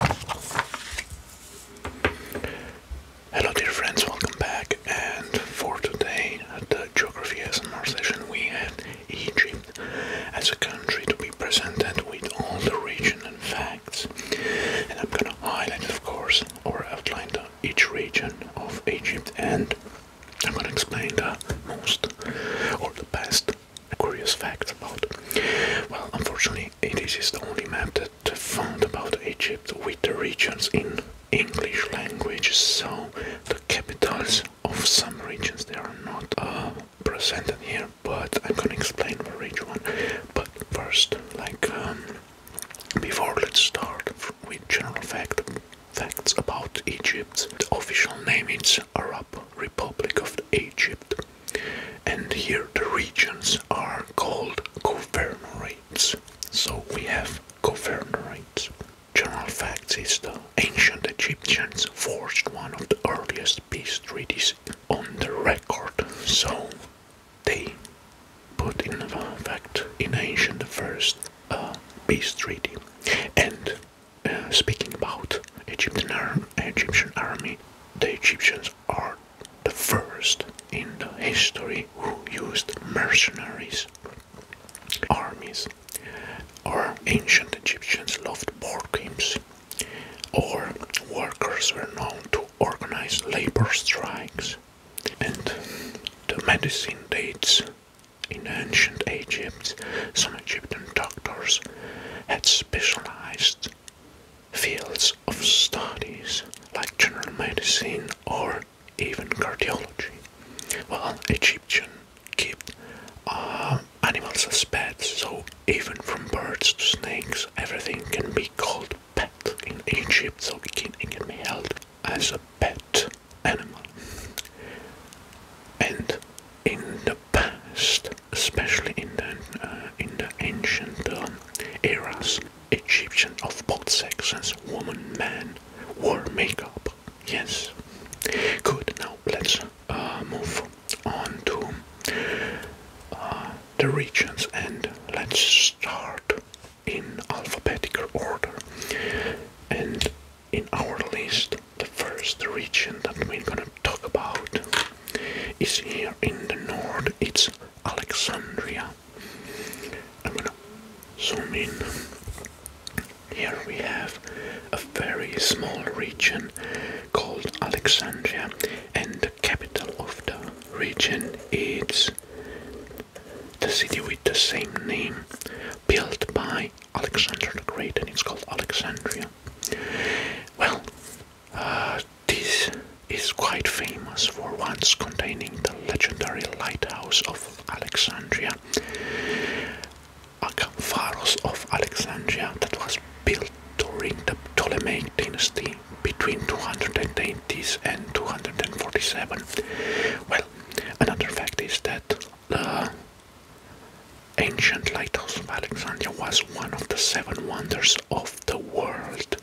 Hello dear friends, welcome back and for today the Geography SMR session we have Egypt as a country to be presented with all the region and facts and I'm gonna highlight of course or outline the, each region of Egypt and I'm gonna explain the most or the best a curious fact about. Well, unfortunately, this is the only map that found about Egypt with the regions in English language, so the capitals of some regions they are not uh, presented here, but I'm gonna explain for each one. But first, like um, before, let's start with general fact facts about Egypt. The official name is Arab Republic of Egypt and here the regions are called governorates. So we have governorates. General fact is the ancient Egyptians forged one of the earliest peace treaties on the record. So they put in fact in ancient the first uh, peace treaty. And uh, speaking about Egyptian army, the Egyptians are the first in the history who used mercenaries. Armies, or ancient Egyptians loved board games, or workers were known to organize labor strikes, and the medicine dates. In ancient Egypt, some Egyptian doctors had specialized fields of studies like general medicine or even cardiology. Well, Egyptian keep um, animals as pets, so even from birds to snakes, everything can be called pet in Egypt, so it can, it can be held as a pet animal. And in the past, especially in the, uh, in the ancient um, eras, Egyptian of both sexes, woman, man, wore makeup. Yes. Good. Now let's uh, move on to uh, the regions and let's start in alphabetical order. And in our list, the first region that we're gonna talk about is here in the north, it's Alexandria. I'm gonna zoom in. Here we have a very small region called Alexandria, and the capital of the region is the city with the same name, built by Alexander the Great, and it's called Alexandria. Well, uh, this is quite famous for once containing the legendary lighthouse of Alexandria, Akampharos of Alexandria, that was built during the Ptolemaic dynasty between 280 and 247. Well, another fact is that ancient lighthouse of Alexandria was one of the seven wonders of the world.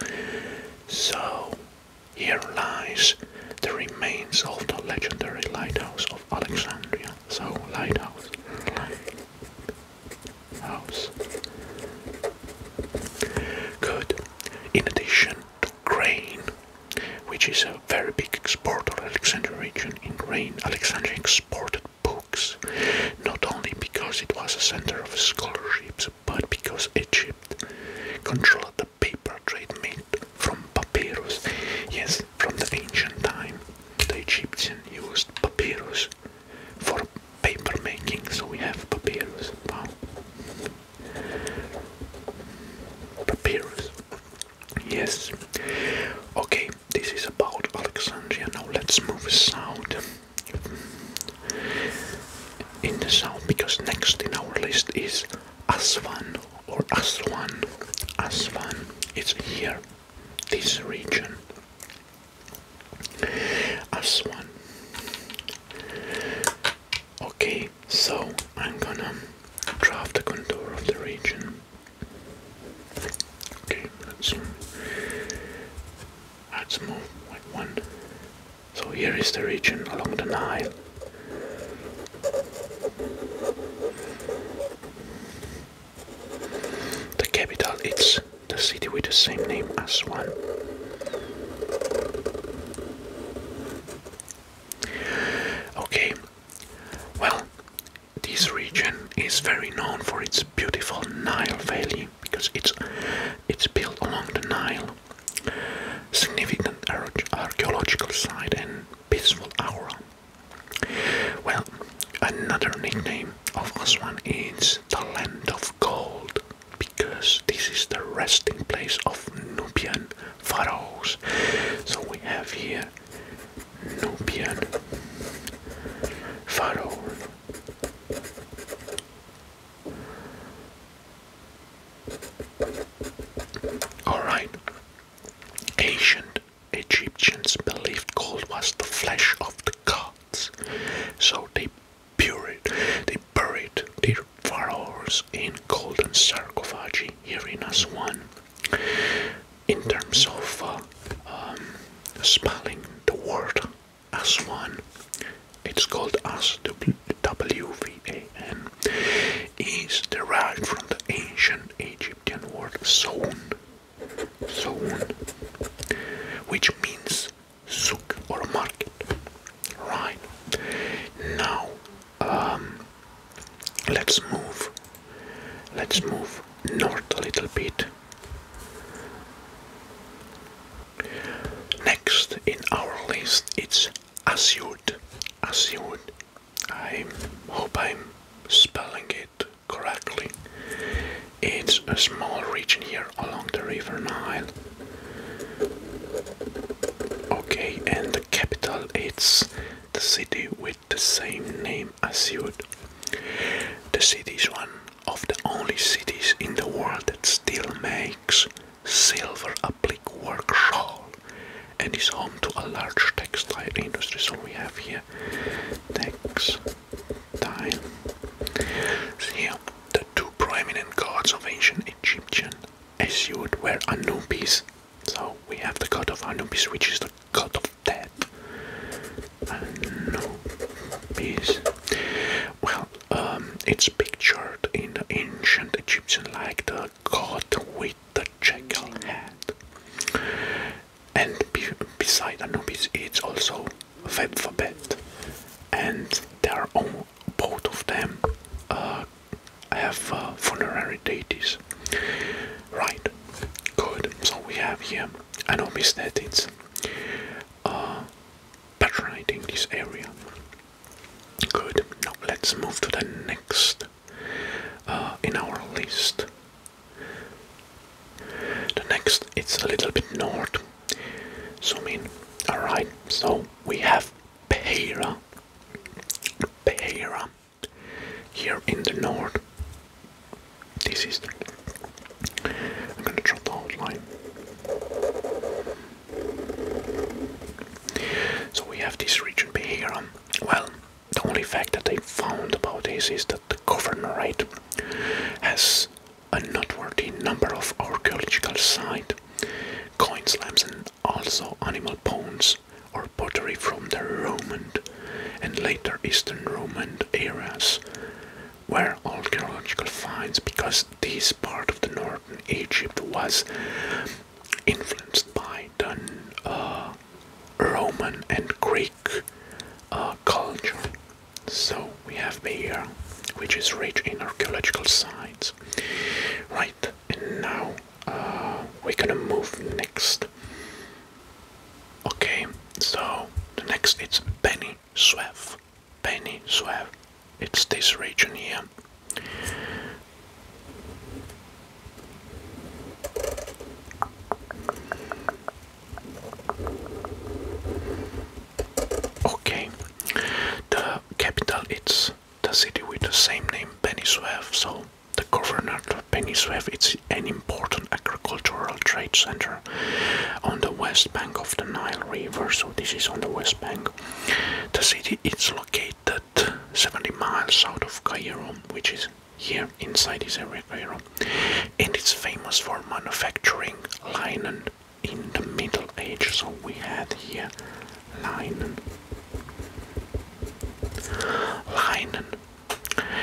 So, here lies the remains of the legendary lighthouse of Alexandria. So, lighthouse. Lighthouse. Good. In addition to grain, which is a very big exporter, Alexandria region in grain, Alexandria exported books, not only because it was a center of scholarship, but because Egypt controlled the paper trade made from papyrus. Yes, from the ancient time, the Egyptian used papyrus for paper making, so we have papyrus. Wow. Papyrus. Yes. Okay, this is about Alexandria. Now let's move south in the south because next in our list is Aswan or Aswan. Aswan is here, this region. Aswan. Okay, so I'm gonna draw the contour of the region. Okay, let's add some more like one. So here is the region along the Nile. The capital is the city with the same name as one. Okay, well, this region is very known for its beautiful Nile Valley because it's it's built along the Nile. Significant archaeological site and peaceful aura. Well, another nickname of Aswan is the land of gold because this is the resting place of Nubian pharaohs. So we have here bien, faro, all right. Ancient Egyptians believed gold was the flesh of the gods, so they buried, they buried their pharaohs in golden sarcophagi. Here in Aswan, in terms of uh, um, spelling the word Aswan, it's called S-W-V-A-N, is derived from the ancient Egyptian word Soun, Soun, which means souk or market, right? Now, um, let's move Let's move north a little bit. Next in our list it's Asyut. Asyut. I hope I'm spelling it correctly. It's a small region here along the river Nile. Okay, and the capital is the city with the same name as Siut. The city is one of the only cities in the world that still makes silver applique work shawl and is home to a large textile industry. So we have here textile. here, the two prominent gods of ancient Egyptian as Asiut were Anubis. So we have the god of Anubis, which is the god of dead. Uh, well, um, it's pictured in ancient Egyptian like the god with the jackal head, and beside Anubis, it's also Febfabet, and they are both of them uh, have uh, funerary deities. Right, Good. So we have here Anomis that it's uh, this area. Good. Now let's move to the next uh, in our list. The next it's a little bit north. Zoom mean. Alright, so we have Peira. Peira here in the north, this is. I'm gonna drop the outline. So we have this region Beheran. Um, well, the only fact that they found about this is that the governorate has a noteworthy number of archaeological site, coin slabs, and also animal bones or pottery from the Roman and later Eastern Roman eras all archaeological finds because this part of the northern Egypt was influenced by the uh, Roman and Greek uh, culture. So we have Beira, which is rich in archaeological sites. Right, and now uh, we're gonna move next Okay, so the next it's Penny Suev. Penny Suev. It's this region here. Okay, the capital it's the city with the same name, Penisuev, so the governor of Venezuela is an important agricultural trade center on the west bank of the Nile River, so this is on the west bank. The city is located 70 miles south of Cairo, which is here inside this area Cairo, and it's famous for manufacturing linen in the Middle Ages. So we had here linen. Linen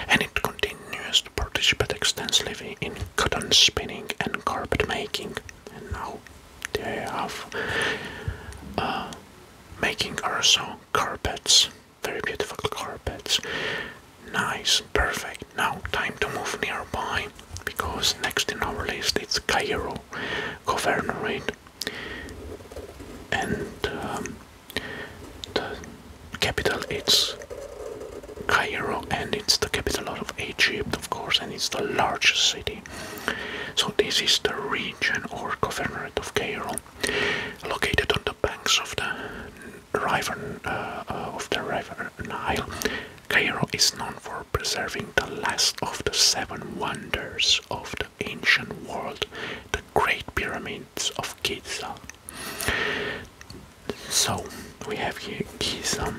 and it continues to participate extensively in cotton spinning and carpet making. And now they have uh, making also carpets, very beautiful carpets. Nice, perfect. Now time to move nearby because next in our list it's Cairo Governorate. And um, the capital is Cairo, and it's the capital of Egypt, of course, and it's the largest city. So, this is the region or governorate of Cairo, located on the banks of the river uh, uh, of the river Nile. Cairo is known for preserving the last of the seven wonders of the ancient world, the Great Pyramids of Giza. So we have here Giza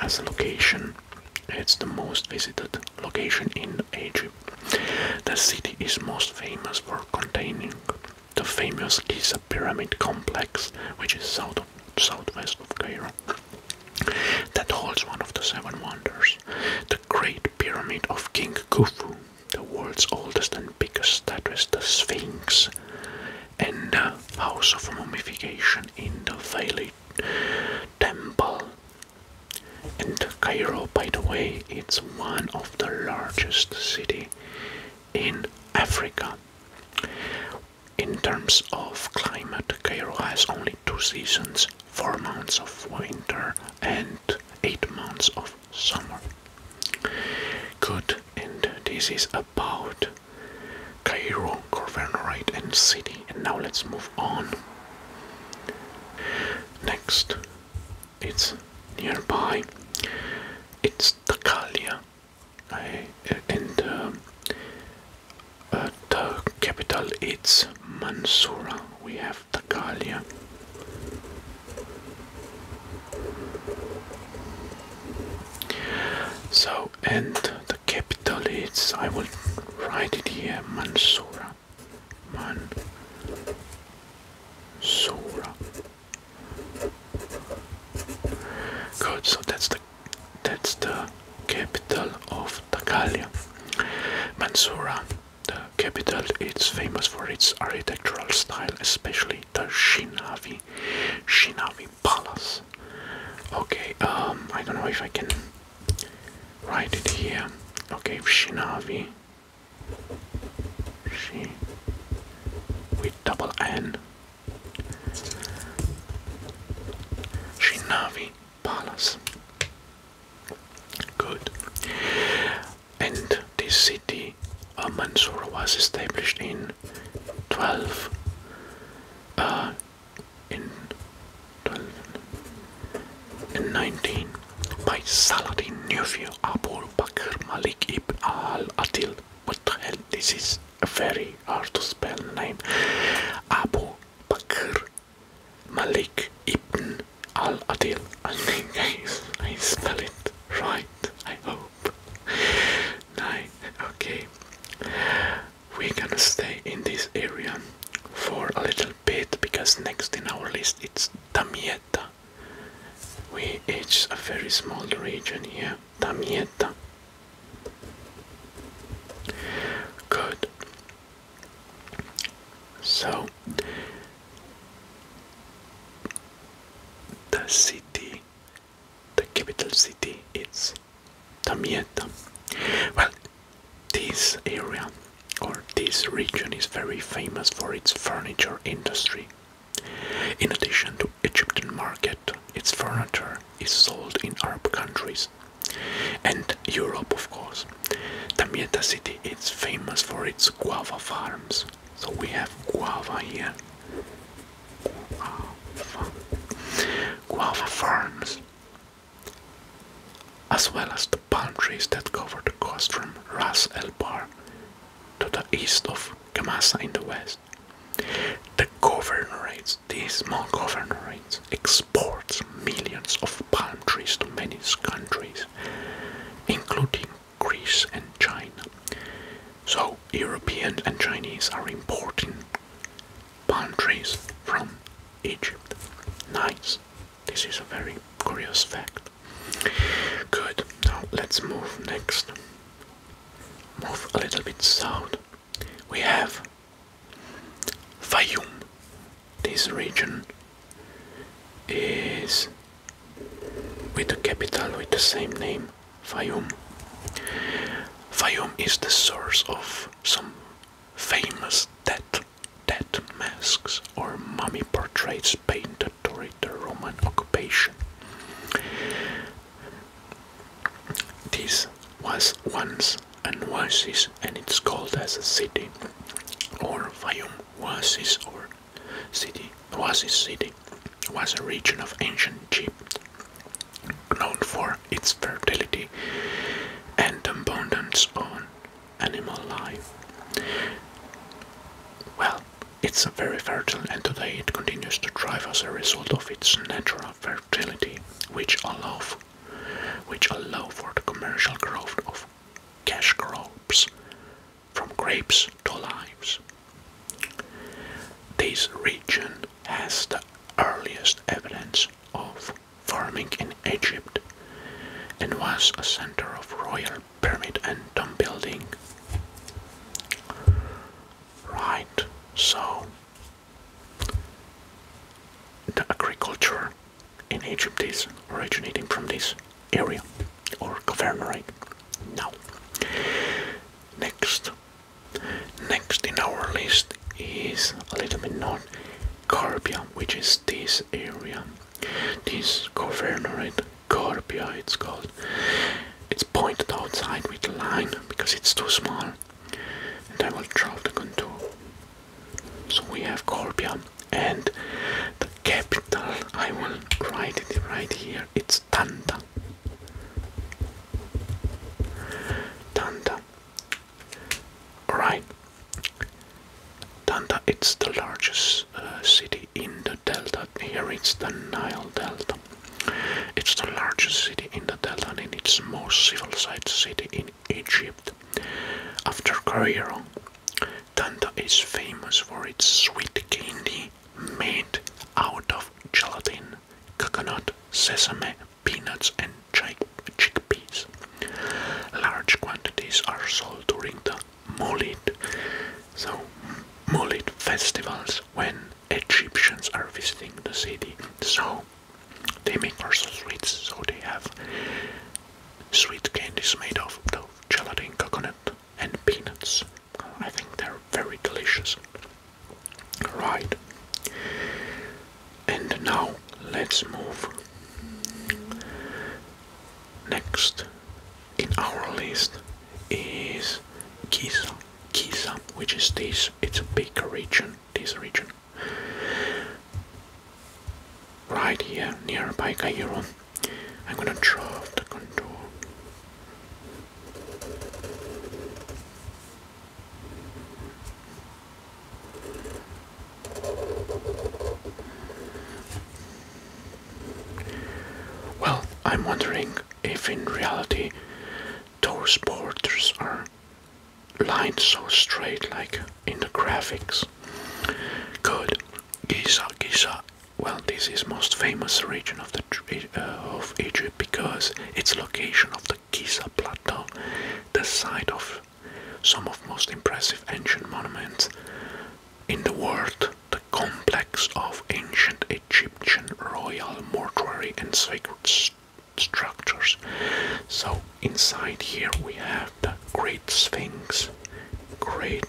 as a location. It's the most visited location in Egypt. The city is most famous for containing the famous Giza pyramid complex, which is south of, south west of Cairo. That holds one of the seven wonders, the Great Pyramid of King Khufu the world's oldest and biggest statue is the Sphinx, and the House of Mummification in the Valley Temple. And Cairo, by the way, it's one of the largest city in Africa. In terms of climate, Cairo has only two seasons, four months of winter and eight months of summer. Good, and this is about Cairo, governorate, and city. And now let's move on. Next, it's nearby. It's Takalia, uh, and um, uh, the capital is Mansoura. We have Takalia. So, and the capital is, I will write it here, Mansura. Mansura. Good, so that's the, that's the capital of Tagalia. Mansura the capital is famous for its architectural style, especially the Shinavi, Shinavi Palace. Okay, um, I don't know if I can write it here. Okay, Shinavi, she with double N. Shinavi Palace. Good and this city uh, Mansour was established uh, in 12 in 19 by Saladin Nufio Abu Bakr Malik ibn al-Adil what hell this is a very hard to spell name Abu Bakr Malik ibn Al Adil. I think I, spell it right. I hope. Nine. Okay. We're gonna stay in this area for a little bit because next in our list it's Tamietta. We it's a very small region here. Tamietta. Good. So the city, the capital city is Damietta. Well, this area or this region is very famous for its furniture industry. In addition to Egyptian market, its furniture is sold in Arab countries and Europe, of course. Damietta city is famous for its guava farms. So we have guava here. Guava, farms. As well as the palm trees that cover the coast from Ras El Bar to the east of Kamasa in the west. The governorates, these small governorates, exports millions of palm trees to many countries, including Greece and China. So Europeans and Chinese are importing palm trees from Egypt. Nice. This is a very curious fact. Good. Now let's move next. Move a little bit south. We have Fayoum. This region is with the capital with the same name, Fayum. Fayum is the source of some famous death, death masks or mummy portraits painted during the Roman occupation. This was once an oasis and it's called as a city or Fayum oasis or city was this city was a region of ancient Egypt known for its fertility and abundance on animal life. Well, it's a very fertile and today it continues to thrive as a result of its natural fertility, which allow which allow for the commercial growth of cash crops from grapes to limes. This region has the earliest evidence of farming in Egypt and was a center of royal pyramid and tomb building. Right, so the agriculture in Egypt is originating from this area or governorate. Now, next, next in our list is a little bit known Carbia, which is this area. This governorate, Carbia, it's called. It's pointed outside with a line because it's too small, and I will draw the contour. So we have Carbia and the capital I will write it right here it's Tanta. Tanda right Tanda it's the largest uh, city in the delta here it's the Nile Delta it's the largest city in the delta and it's most civilized city in Egypt after Cairo Tanta is famous for its sweet candy made out of gelatin, coconut, sesame, peanuts, and chick chickpeas. Large quantities are sold during the Mulid, so Mulid festivals when Egyptians are visiting the city. So they make also sweets, so they have Sweet candies made of, gelatin, coconut, and peanuts. I think they're very delicious. Right. And now let's move. Next in our list is Kisa Kisa, which is this, it's a big region, this region right here nearby Cairo. I'm gonna draw the contour. Well, I'm wondering if in reality those borders are lined so straight like in the graphics. Good. Giza, Giza. Well, this is most famous region of the eh, uh, of Egypt because its location of the Giza plateau, the site of some of most impressive ancient monuments in the world, the complex of ancient Egyptian royal mortuary and sacred structures. So inside here we have the Great Sphinx great.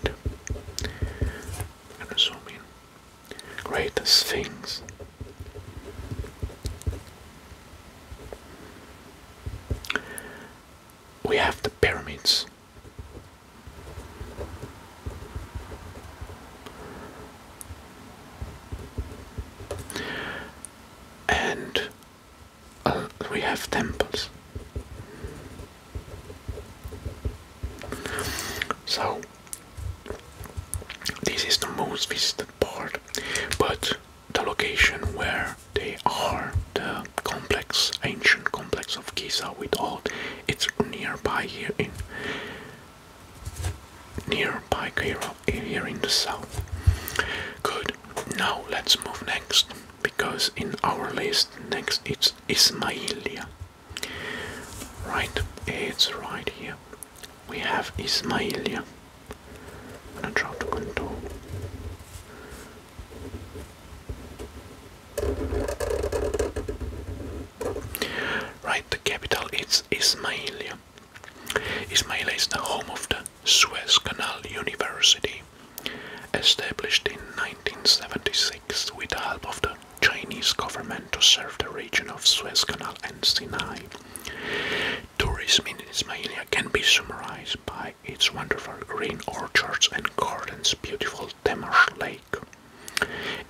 I'm going Greatest things. We have the pyramids. And Oh, we have temples. So this is the most visited part, but the location where they are, the complex, ancient complex of Giza with all it's nearby here in nearby here in the south. Good. Now let's move next because in our list next it's Ismailia. Right, it's right here. We have Ismailia. I'm gonna drop the contour. Right, the capital is Ismailia. Ismailia is the home of the Suez Canal University established in 1976 with the help of the Chinese government to serve the region of Suez Canal and Sinai. Tourism in Ismailia can be summarized by its wonderful green orchards and gardens, beautiful Temash Lake,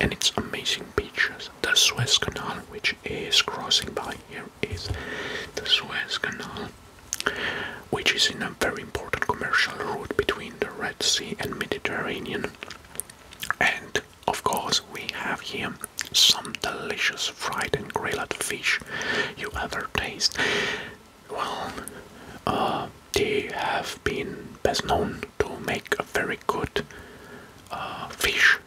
and its amazing beaches. The Suez Canal, which is crossing by here, is the Suez Canal which is in a very important commercial route between the Red Sea and Mediterranean. And of course, we have here some delicious fried and grilled fish you ever taste. Well, uh, they have been best known to make a very good uh, fish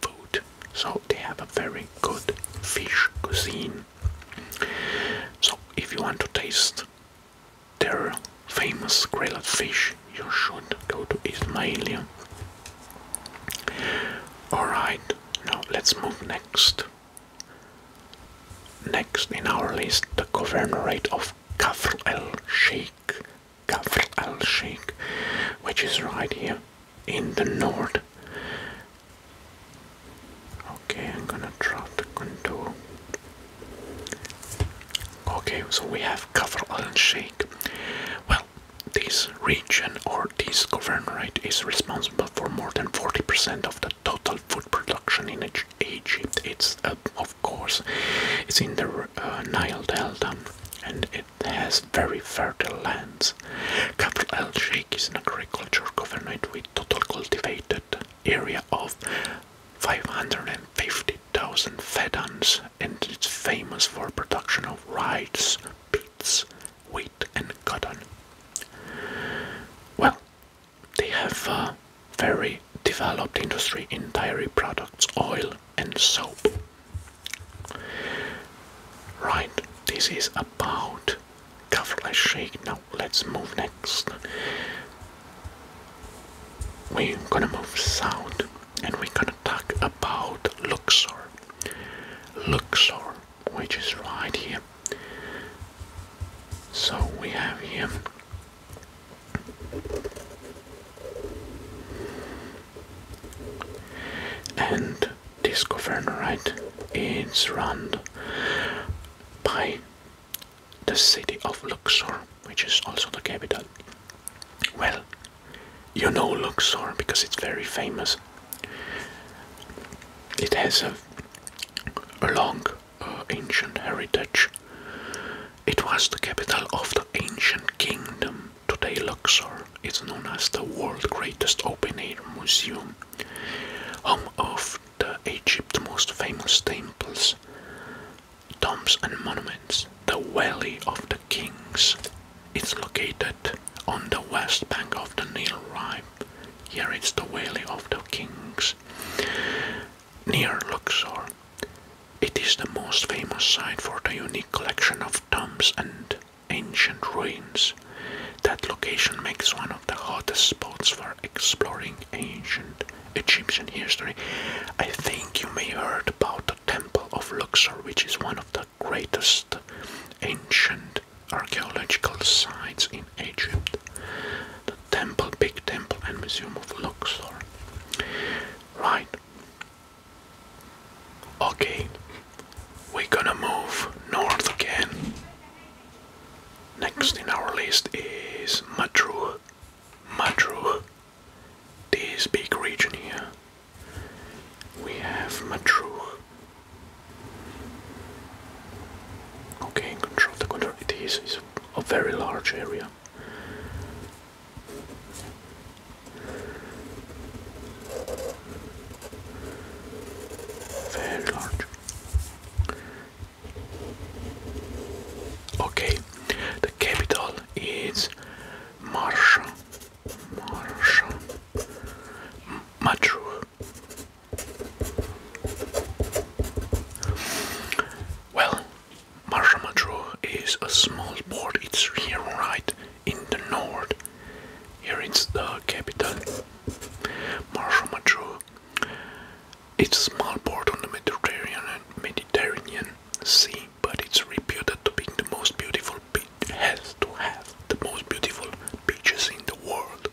food, so they have a very good fish cuisine. So, if you want to taste their famous grilled fish, you should go to Ismailia. Alright, now let's move next. Next in our list, the governorate of Kafr el Sheikh, Kafr el Sheikh, which is right here in the north. Okay, I'm gonna draw the contour. Okay, so we have Kafr and Sheikh. Well, this region or this governorate is responsible for more than 40% of the total food production in Egypt. It's, uh, of course, it's in the uh, Nile Delta and it has very fertile lands. Kafr and Sheikh is an agriculture governorate total cultivated area of 550,000 fedans and it's famous for production of rice, beets, wheat and cotton. Well, they have a very developed industry in dairy products, oil and soap. Right, this is about Coverless shake. Now let's move next. We're gonna move south and we're gonna talk about Luxor. Luxor, which is right here. So we have here and this governorate is run by the city of Luxor, which is also the capital. Well, you know Luxor because it's very famous. It has a, long uh, ancient heritage. It was the capital of the ancient kingdom. Today, Luxor is known as the world's greatest open air museum home of the Egypt's most famous temples, tombs and monuments. The Valley of the Kings is located on the west bank of the Nile River. Here is the Valley of the Kings near Luxor. It is the most famous site for the unique collection of tombs and ancient ruins. That location makes one of the hottest spots for exploring ancient Egyptian history. I think you may have heard about the Temple of Luxor, which is one of the greatest ancient archaeological sites in Egypt. The temple, big temple and museum of Luxor. Right. Okay, we're gonna move north again. Next in our list is Madru. Madru. This big region here. We have Madru. Okay, control the control. It is it's a very large area. Very large. Okay, the capital is Marsha. Marsha. Matru. Well, Marsha Matru is a small port. It's here right in the north here it's the capital, Marshall It's a small port on the Mediterranean Sea, but it's reputed to be the most beautiful beach has to have the most beautiful beaches in the world.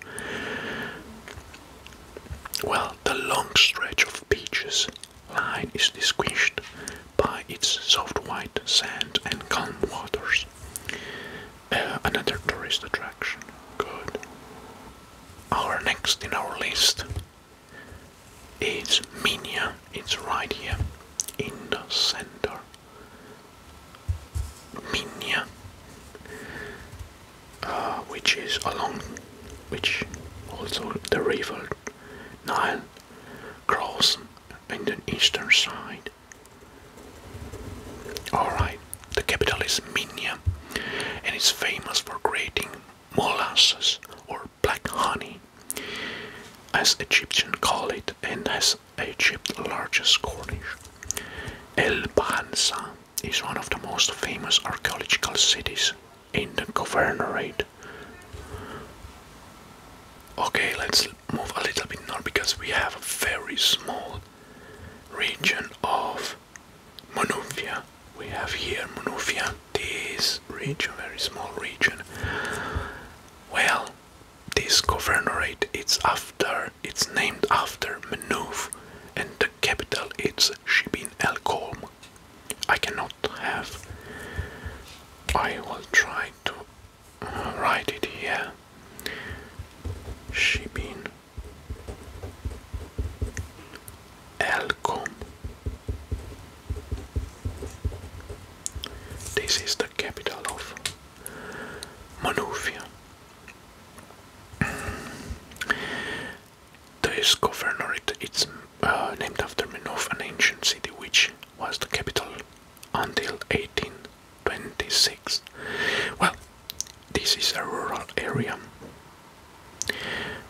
Well, the long stretch of beaches line is distinguished by its soft white sand and calm waters another tourist attraction. Good. Our next in our list is Minya. It's right here in the center. Minya, uh, which is along, which also the river Nile crosses in the eastern side. Alright, the capital is Minya and it's famous for creating molasses or black honey, as Egyptians call it, and has Egypt's largest cornish. El Banza is one of the most famous archaeological cities in the governorate. Okay, let's move a little bit north because we have a very small region of Monufia. We have here Monufia, this region, very small region. Well, this governorate it's after it's named after Manuf and the capital it's Shibin El Kolm. I cannot have I will try to write it here shipping Elcom. This is the capital of Manufia. This governorate is uh, named after Manuf, an ancient city which was the capital until 18 26. Well, this is a rural area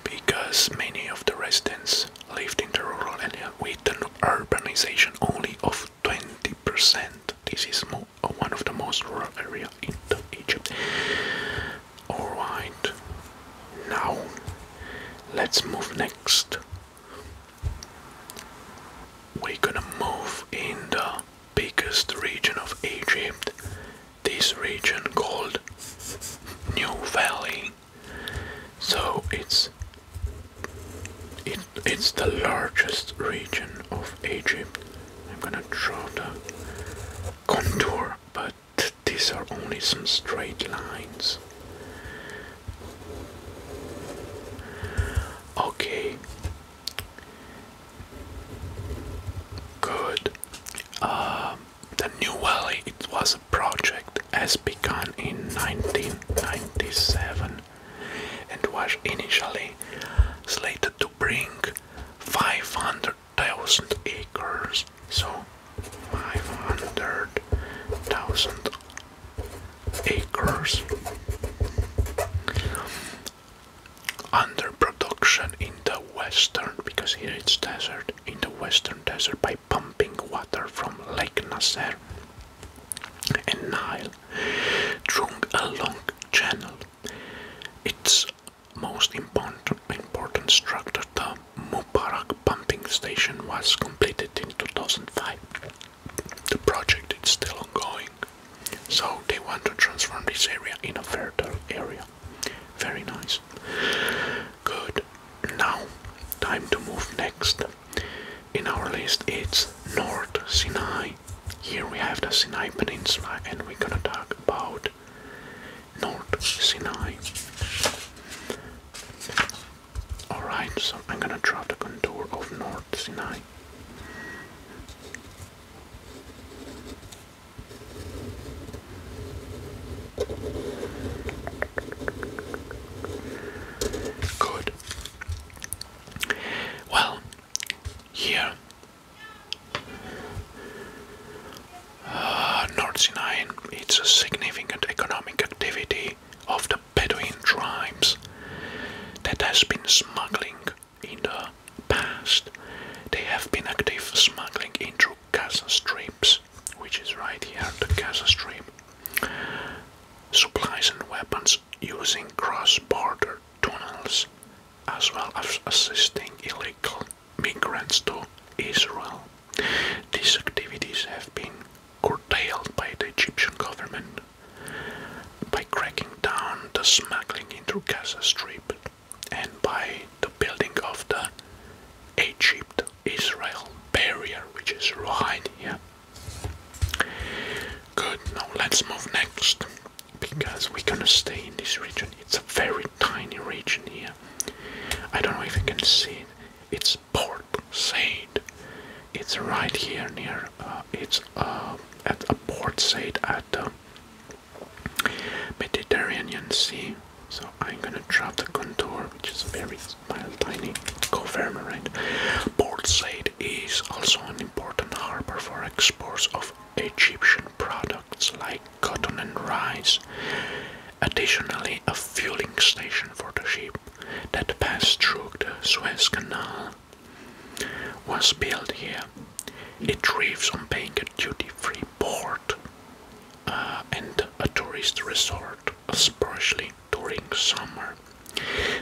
because many of the residents lived in the rural area with an urbanization only of 20%. This is one of the most rural area in Egypt. Alright, now let's move next we're gonna move in the biggest region of Egypt, this region called New Valley. So it's it, it's the largest region of Egypt. I'm gonna draw the contour, but these are only some straight lines. Okay. Good. Um, the New Valley, it was a project as begun in 1997 and was initially slated to bring 500,000 acres. So, 500,000 acres. under production in the western, because here it's desert, in the western desert by pumping water from Lake Nasser and Nile through a long channel. Its most important, important structure, the Mubarak pumping station, was completed in 2005 the project is still ongoing. So they want to transform this area in a fertile area. Very nice. Good. Now, time to move next. In our list, it's North Sinai. Here we have the Sinai Peninsula, and we're gonna talk about North Sinai. Alright, so I'm gonna draw the contour of North Sinai. Good. Well, here, uh, North it's a significant economic activity of the Bedouin tribes that has been smuggling in the past. They have been active smuggling into Gaza Strips, which is right here, the Gaza Strip. Supplies and weapons using cross-border tunnels, as well as assisting illegal migrants to Israel. These activities have been curtailed by the Egyptian government by cracking down the smuggling into Gaza Strip and by the building of the Egypt Israel barrier, which is right here. Good, now let's move next because we're gonna stay in this region. It's a very tiny region here. I don't know if you can see It's Port Said. It's right here near. Uh, it's uh, at a Port Said at the uh, Mediterranean Sea. So I'm gonna drop the contour, which is very small, tiny confirmer, right? Port Said is also an important harbor for exports of Egyptian products like cotton and rice. Additionally, a fueling station for the ship that passed through the Suez Canal was built here. It thrives on being a duty-free port uh, and a tourist resort, especially during summer.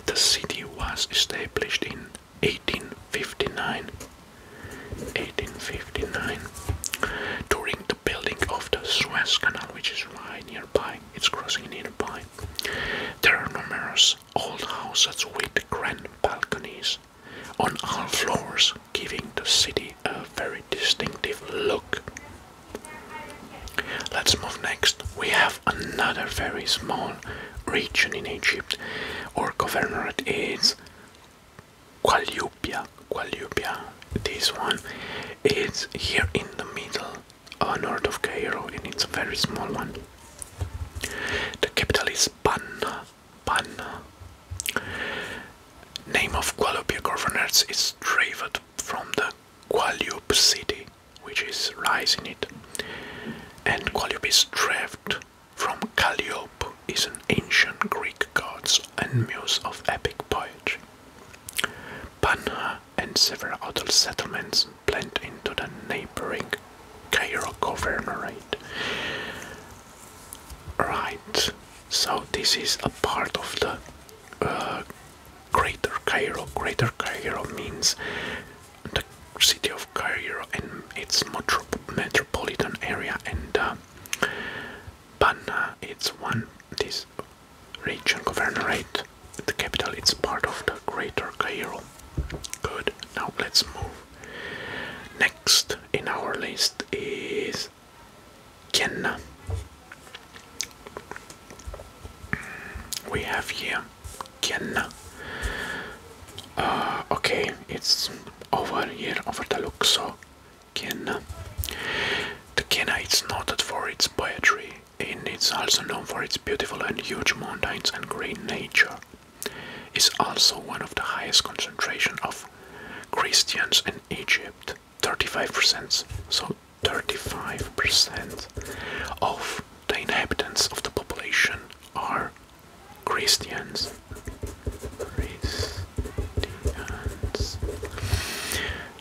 The city was established in 1859. 1859 during the building of the Suez Canal, which is right nearby. It's crossing nearby. There are numerous old houses with grand balconies on all floors, giving the city a very distinctive look. Let's move next. We have another very small region in Egypt. or governorate is Qualyupia. Qualyupia. This one is here in the middle uh, north of Cairo, and it's a very small one. The capital is Panna. Panna. Name of Gualupia governors is derived from the Gualup city, which is rising it, and Gualup is derived from Calliope, is an ancient Greek gods and muse of epic poetry. Panna and several other settlements blend into the neighboring Cairo governorate. Right, so this is a part of the uh, Greater Cairo. Greater Cairo means the city of Cairo and its metropolitan area, and uh, it's one this region governorate. The capital is part of the Greater Cairo. Good. Now let's move. Next in our list is Kenna. We have here Kenna. Uh, okay, it's over here, over the look, so Kenna. The Kenna is noted for its poetry and it's also known for its beautiful and huge mountains and green nature. It's also one of the highest concentration of Christians in Egypt. 35%. So 35% of the inhabitants of the population are Christians. Christians.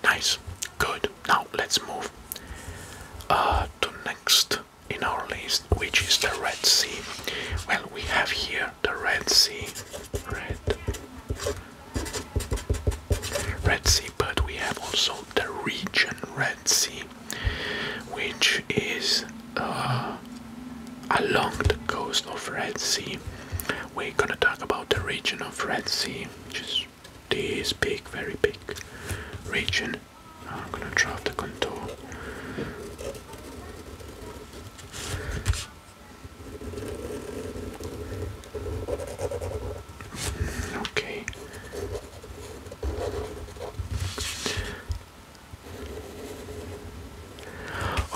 Nice. Good. Now let's move uh, to next in our list, which is the Red Sea. Well, we have here the Red Sea, Red, Red Sea, but we have also the region Red Sea, which is uh, along the coast of Red Sea. We're gonna talk about the region of Red Sea, which is this big, very big region. I'm gonna draw the contour. Mm, okay.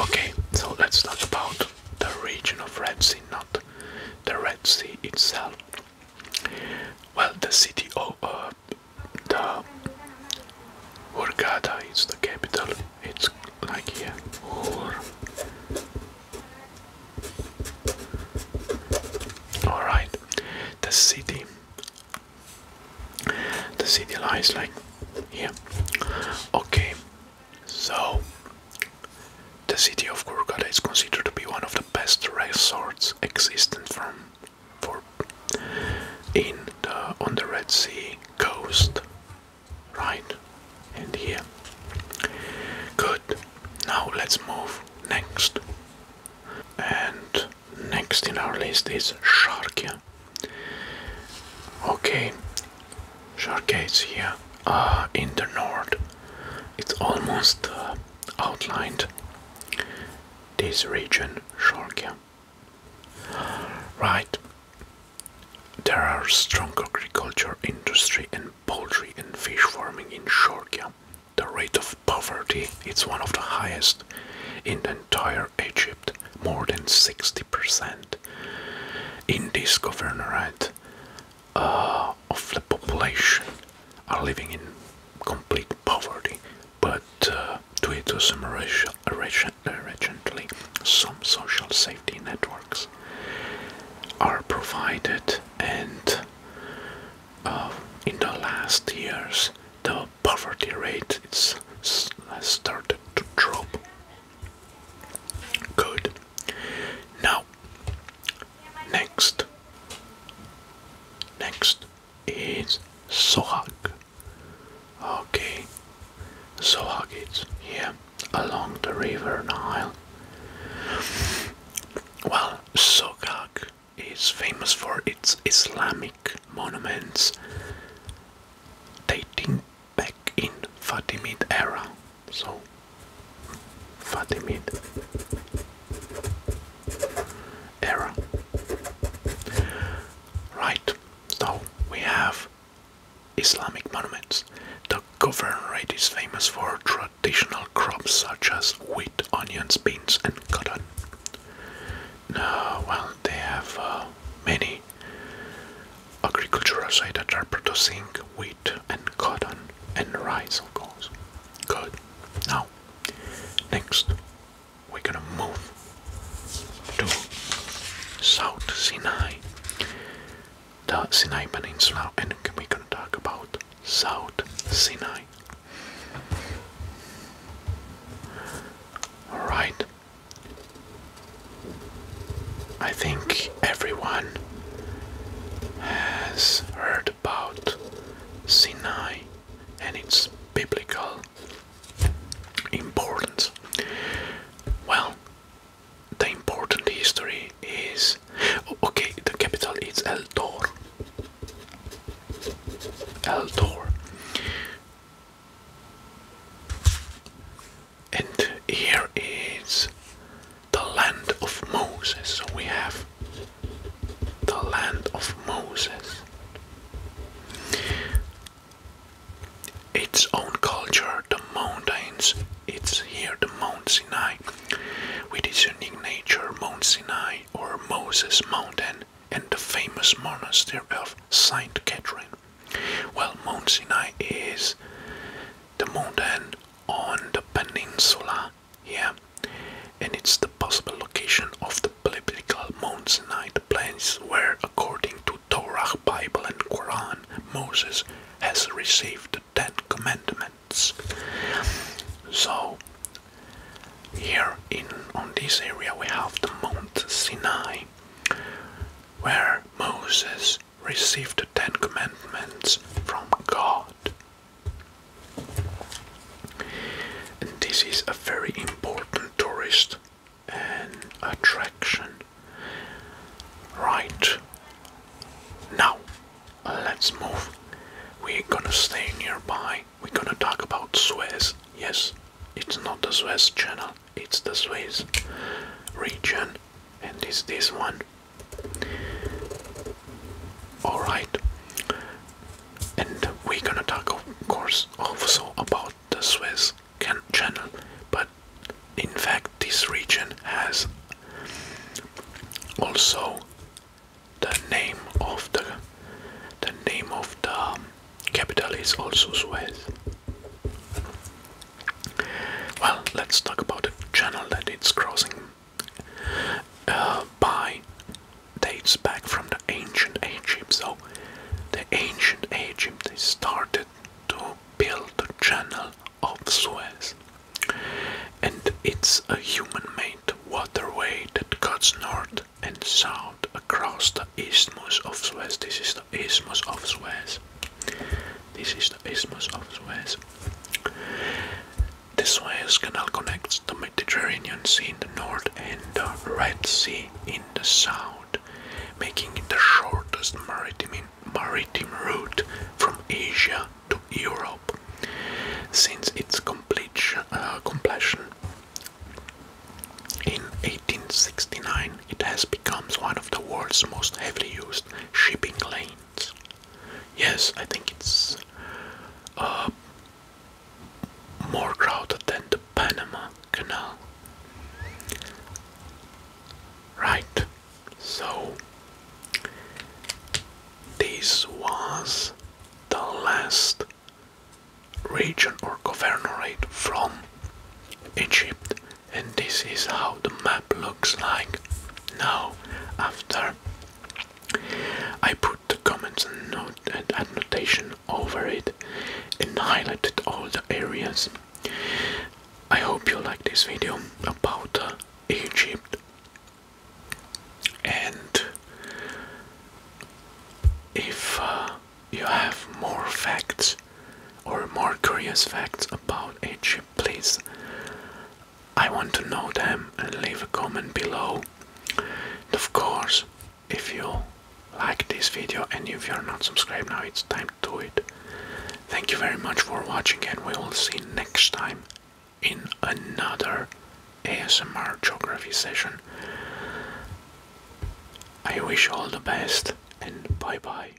Okay, so let's talk about the region of Red Sea, not the Red Sea itself. Well, the city of uh, the Hurghada is the capital. It's like here. all right, the city. The city lies like here. Okay, so the city of Kurkada is considered to be one of the best resorts existent from for in the on the Red Sea coast. Right and here. Good. Now let's move next. And next in our list is Sharkia. Okay. Sharkia is here. Ah, in the north it's almost uh, outlined this region Sharkia. Right. There are strong agriculture industry and poultry and fish farming in Sharkia. The rate of poverty its one of the highest in the entire Egypt, more than 60%. In this governorate, of the population are living in complete poverty, but due uh, to some urgently, some social safety networks are provided, and um, in the last years the poverty rate is, has started to drop. Good. Now, Next. Next is Sohag. Okay. Sohag is here along the river Nile. Well, Sohag is famous for its Islamic monuments dating back in Fatimid era so Fatimid era. right so we have Islamic monuments the governorate is famous for traditional crops such as wheat onions beans and cotton no, well they have uh, many agricultural sites that are producing wheat and cotton and rice, of course. Good. Now, next, we're gonna move to South Sinai, the Sinai Peninsula, and we're gonna talk about South Sinai. Alright. I think everyone has heard about Sinai and its biblical importance. Well, the important history is okay, the capital is El Dor. El Dor. And here is the land of Moses. So we have the land of Moses. Its own culture, the mountains, it's here the Mount Sinai, with its unique nature, Mount Sinai or Moses Mountain, and the famous monastery of Saint Catherine. Well, Mount Sinai is the mountain on the peninsula here, and it's the possible location of the biblical Mount Sinai, the place where, according to Torah, Bible, and Quran, Moses has received the Ten Commandments. So, here in on this area we have the Mount Sinai, where Moses received the Ten Commandments from God. And this is a very important tourist and um, attraction. Right. Now, let's move. We're gonna stay nearby. We're gonna talk about Suez. Yes, it's not the Suez Channel, it's the Suez region. And it's this one. Alright, and we're gonna talk, of course, also about the Swiss Channel, but in fact, this region has also the name of the the name of the um, capital is also Swiss. Well, let's talk about the channel that it's crossing uh, by. Dates back from the ancient Egypt. So, the ancient Egypt they started to build the channel of Suez, and it's a human-made waterway that cuts north and south across the isthmus of Suez. This is the isthmus of Suez. This is the Isthmus of Suez. This Suez Canal connects the Mediterranean Sea in the north and the Red Sea in the south, making it the shortest maritime, route from Asia to Europe since its completion, uh, completion. In 1869, it has become one of the world's most heavily used shipping lanes. Yes, I think it's uh, more crowded than the Panama Canal. Right, so this was the last region or governorate from Egypt and this is how the map looks like now after I put the comments and note and annotation over it and highlighted all the areas. I hope you like this video about uh, Egypt and if uh, you have more facts or more curious facts about Egypt please? I want to know them and leave a comment below. And of course, if you like this video and if you're not subscribed now, it's time to do it. Thank you very much for watching and we will see next time in another ASMR geography session. I wish you all the best and bye bye.